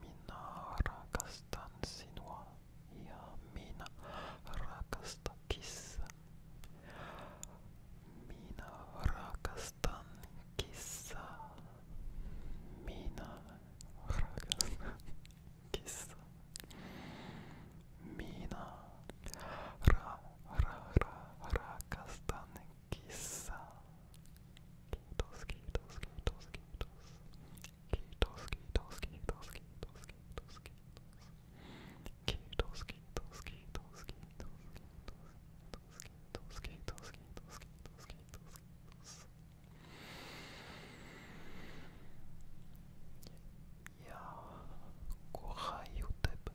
Minä rakastan sinua ja minä rakastan kissa. Minä rakastan kissa. Minä rakastan kissa. Minä ra ra ra rakastan kissa. Skittles, Skittles, Skittles, Skittles. Skittles, Skittles, Skittles, Skittles, Skittles, Skittles. Skittles, Skittles, Skittles, Skittles, Skittles, Skittles, Skittles, Skittles, Skittles, Skittles. Я кохаю тебе.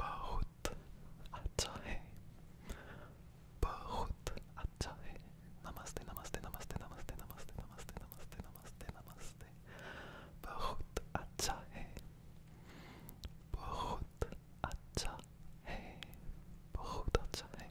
बहुत अच्छा है बहुत अच्छा है नमस्ते नमस्ते नमस्ते नमस्ते नमस्ते नमस्ते नमस्ते नमस्ते नमस्ते बहुत अच्छा है बहुत अच्छा है बहुत अच्छा है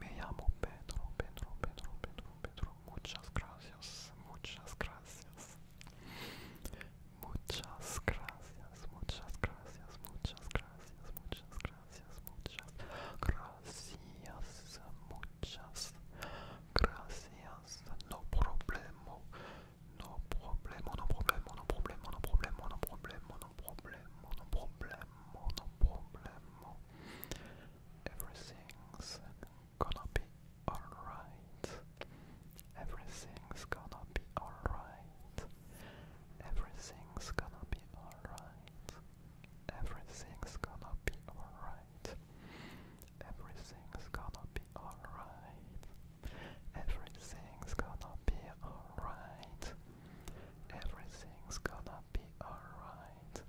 Me llamo Pedro, Pedro, Pedro, Pedro, Pedro. Muchas gracias, muchas gracias. Muchas gracias, muchas gracias, muchas gracias, muchas gracias, muchas gracias, muchas gracias. No problema, no problema, no problema, no problema, no problema, no problema, no no no Everything's gonna be alright. Everything's gonna be alright. Everything's gonna be alright. Everything's gonna be alright. Everything's gonna be alright. Everything's gonna be alright. Everything's gonna be alright.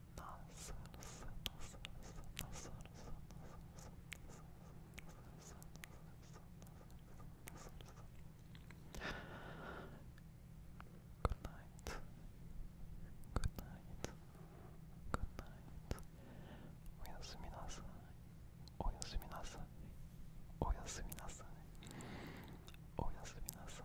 nossa, nossa, nossa, nossa, nossa, nossa, Good night. Good night. Good night. おやすみなさい。おやすみなさい。おやすみなさい。おやすみなさい。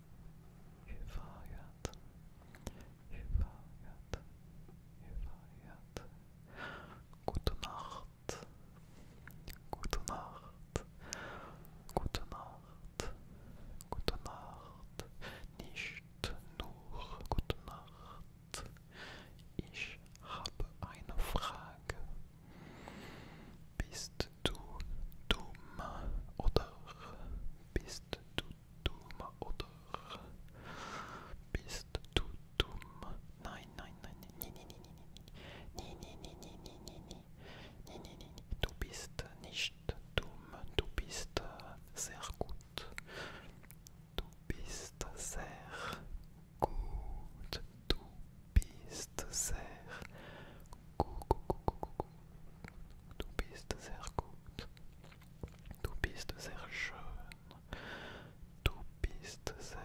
Hüvayat, Hüvayat, Hüvayat. Gute Nacht, gute Nacht, gute Nacht, gute Nacht. Nicht nur gute Nacht. Ich habe eine Frage. Bist dodoma odor bist dodoma odor bist dodoma nein nein nein nein nein nein nein nein nein nein nein nein nein nein du bist nicht dumm du bist sehr gut du bist sehr gut du bist sehr Tu bist sehr gut. Du bist sehr schön. Du bist sehr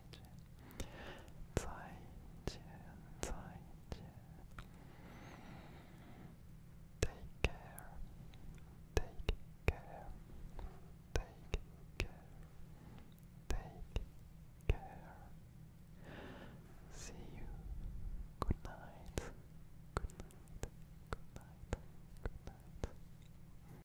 见，再见，再见。Take care, take care, take care, take care. See you. Good night. Good night. Good night. Good night.